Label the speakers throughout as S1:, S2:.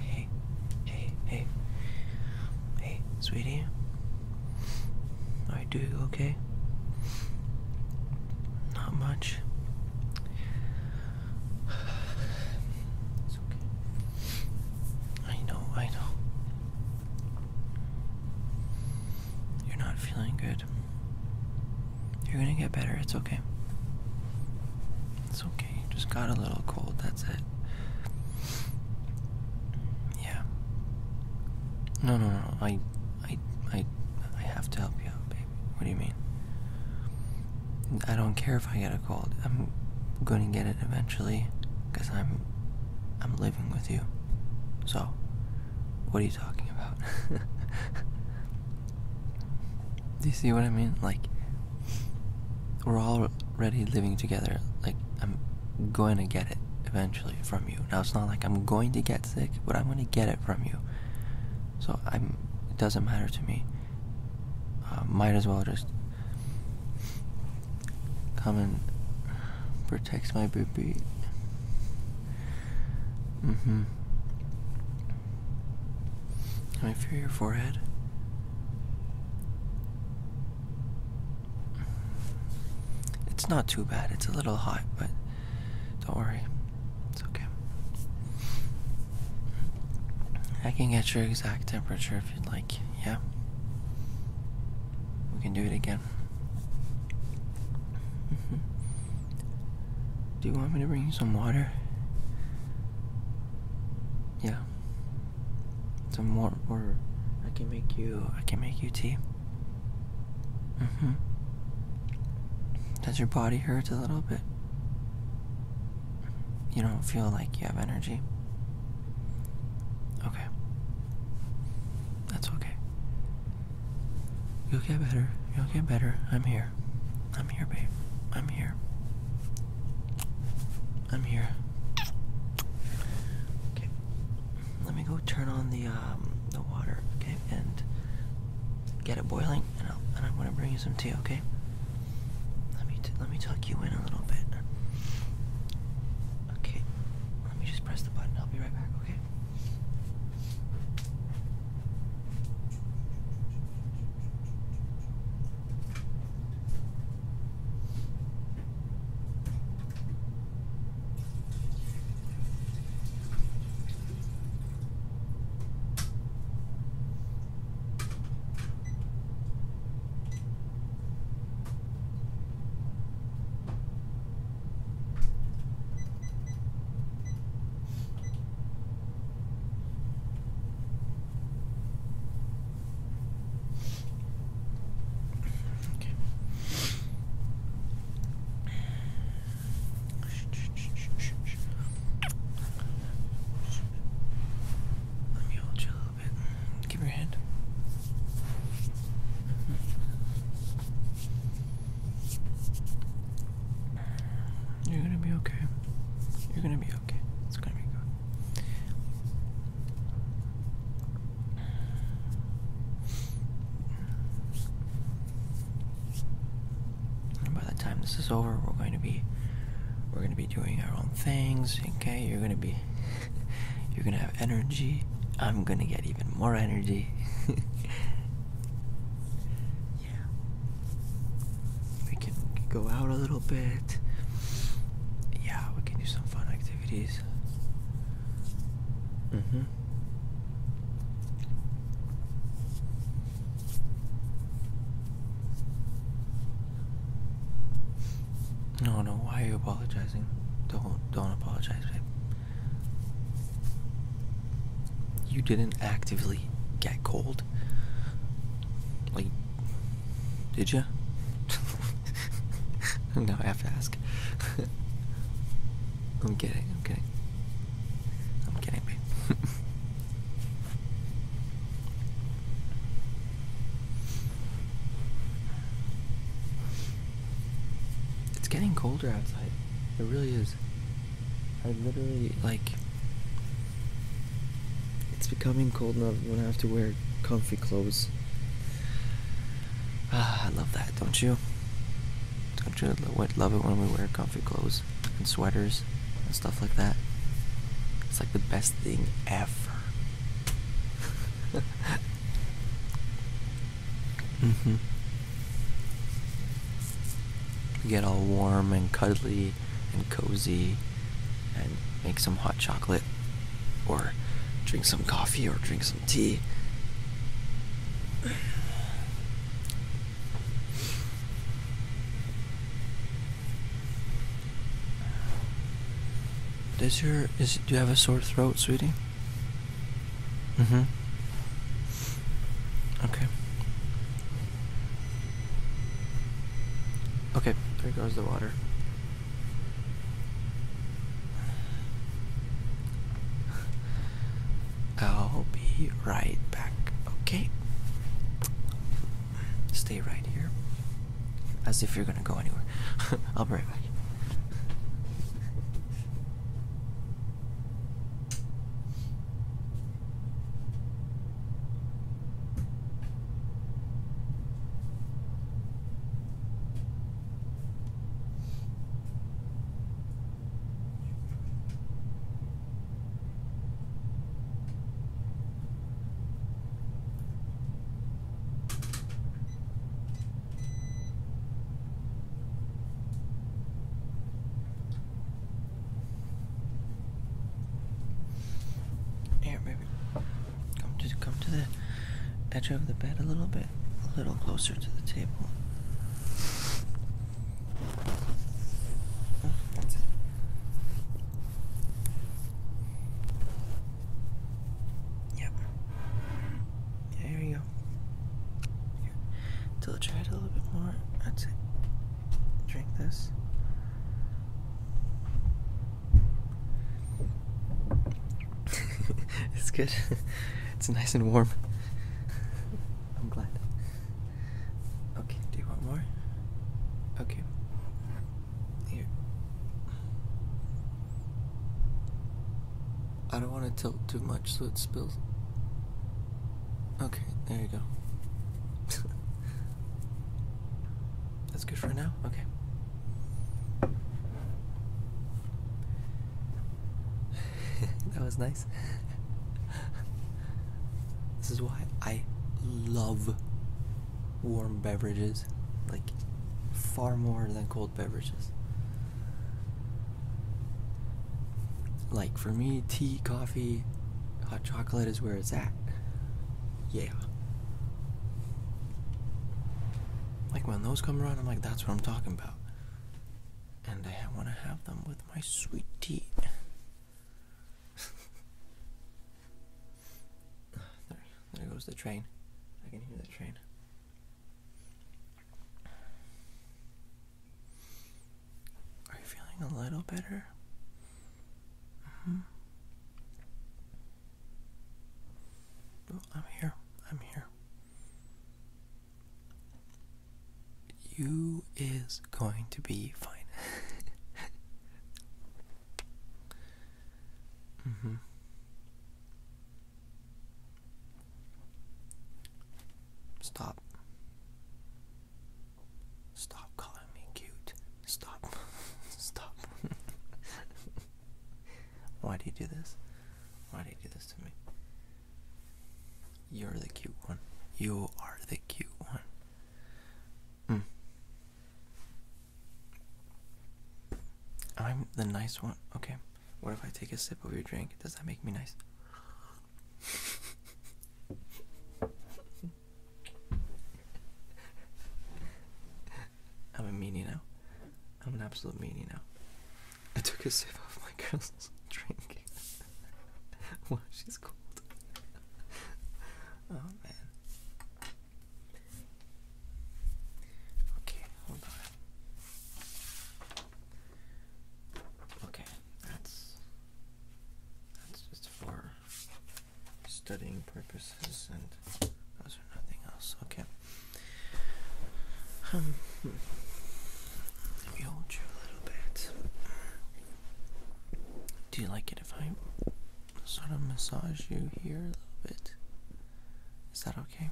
S1: Hey, hey, hey, hey, sweetie. Are you doing okay? Not much. It's okay. I know, I know you're not feeling good. You're gonna get better, it's okay. It's okay, just got a little cold, that's it. Yeah. No, no, no, I, I, I, I have to help you out, baby. What do you mean? I don't care if I get a cold. I'm gonna get it eventually, cause I'm, I'm living with you. So, what are you talking about? Do you see what I mean? Like, we're already living together. Like, I'm going to get it eventually from you. Now, it's not like I'm going to get sick, but I'm going to get it from you. So, I'm, it doesn't matter to me. Uh, might as well just Come and protect my baby. Mm hmm. Can I feel your forehead? It's not too bad. It's a little hot, but don't worry. It's okay. I can get your exact temperature if you'd like, yeah? We can do it again Do you want me to bring you some water? Yeah. Some warm water. I can make you I can make you tea. Mm-hmm. Does your body hurt a little bit? You don't feel like you have energy? Okay. That's okay. You'll get better. You'll get better. I'm here. I'm here, babe. I'm here. I'm here. Okay. Let me go turn on the um, the water, okay, and get it boiling, and i am gonna bring you some tea, okay? Let me let me tuck you in a little bit. Okay, let me just press the button. I'll be right back, okay? Let me hold your Give your hand. You're gonna be okay. You're gonna be okay. It's gonna be good. by the time this is over, we're going to be we're going to doing our own things. Okay, you're gonna be, you're gonna have energy. I'm gonna get even more energy. yeah, we can go out a little bit. Yeah, we can do some fun activities. Mm-hmm. No, no. Why are you apologizing? Don't, don't apologize, babe. You didn't actively get cold, like, did you? No, I have to ask. I'm kidding. I'm kidding. I'm kidding, babe. It's getting colder outside. It really is. I literally, like, it's becoming cold enough when I have to wear comfy clothes. Ah, I love that, don't you? Don't you love it when we wear comfy clothes and sweaters stuff like that. It's like the best thing ever. Mm-hmm. get all warm and cuddly and cozy and make some hot chocolate or drink some coffee or drink some tea. Does your is do you have a sore throat, sweetie? Mm-hmm. Okay. Okay, there goes the water. I'll be right back, okay? Stay right here. As if you're gonna go anywhere. I'll be right back. Here, baby. Come to come to the edge of the bed a little bit, a little closer to the table. Oh, Yep. Yeah, here you go. Here. Till try it a little bit more. That's it. Drink this. it's good. it's nice and warm. I'm glad. Okay, do you want more? Okay. Here. I don't want to tilt too much so it spills. Okay, there you go. That's good for now? Okay. that was nice. this is why I love warm beverages, like far more than cold beverages. Like for me, tea, coffee, hot chocolate is where it's at. Yeah. Like when those come around, I'm like, that's what I'm talking about and I want to have them with my sweet tea. there, goes the train. I can hear the train. Are you feeling a little better? -hmm. I'm here. I'm here you is going to be fine. Mm-hmm. Stop. Stop calling me cute. Stop. Stop. Why do you do this? Why do you do this to me? You're the cute one. You are the cute one. Hmm. I'm the nice one. Okay. What if I take a sip of your drink? Does that make me nice? I'm a meanie now. I'm an absolute meanie now. I took a sip of my girl's drink while she's cold. oh man. Okay, hold on. Okay, that's that's just for studying purposes and those are nothing else. Okay. Um, let me hold you a little bit. Do you like it if I sort of massage you here a little bit? Is that okay?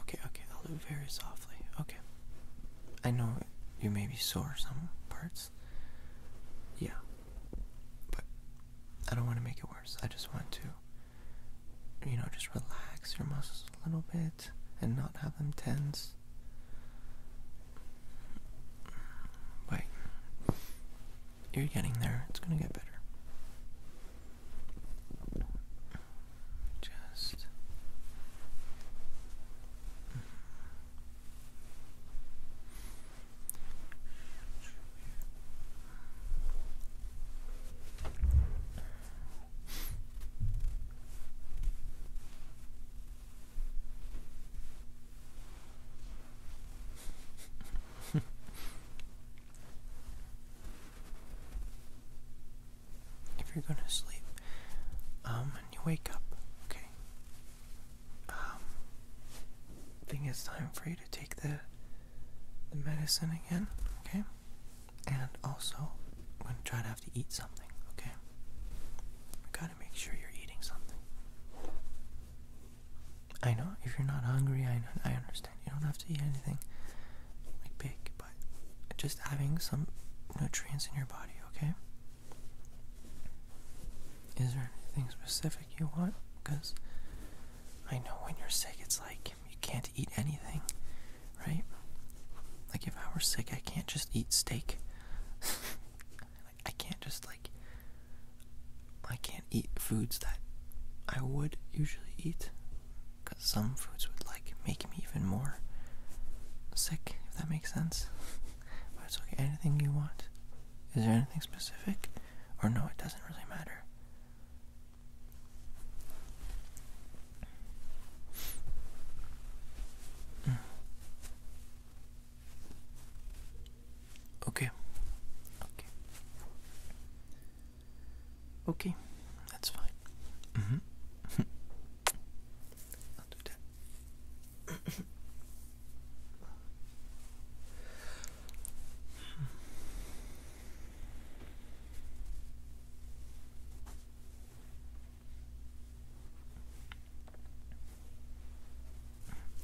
S1: Okay, okay, I'll do very softly. Okay. I know you may be sore some parts. Yeah, but I don't want to make it worse. I just want to, you know, just relax your muscles a little bit and not have them tense. But you're getting there. It's going to get better. Just if you're going to sleep, um, and you wake up, okay? Um, I think it's time for you to take the the medicine again, okay? And also, I'm gonna try to have to eat something, okay? We gotta make sure you're eating something. I know if you're not hungry, I I understand. You don't have to eat anything like big, but just having some nutrients in your body, okay? Is there anything specific? you want because I know when you're sick, it's like you can't eat anything, right? Like if I were sick, I can't just eat steak. I can't just like I can't eat foods that I would usually eat because some foods would like make me even more sick, if that makes sense. but it's okay, anything you want. Is there anything specific? Or no, it doesn't really matter. Hmm. Okay. Okay. Okay, that's fine. Mm-hmm. I'll do that.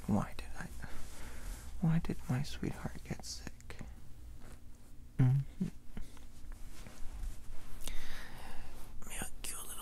S1: Why did I? Why did my sweetheart get sick? Mm -hmm.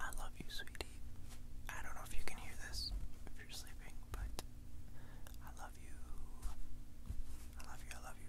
S1: I love you, sweetie. I don't know if you can hear this if you're sleeping, but I love you. I love you, I love you.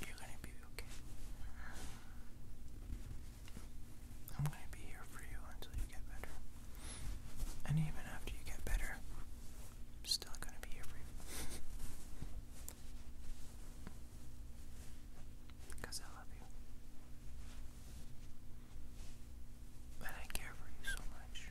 S1: You're gonna be okay. I'm gonna be here for you until you get better. And even after you get better, I'm still gonna be here for you. Because I love you. And I care for you so much.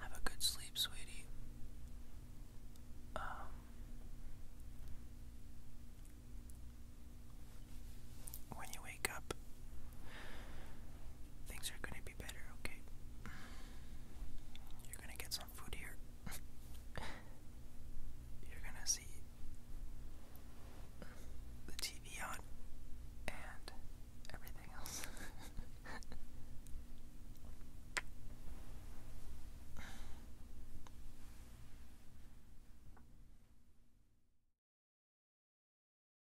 S1: Have a good sleep, sweetie. Um, when you wake up, Things are gonna be better, okay? You're gonna get some food here. You're gonna see the TV on and everything else.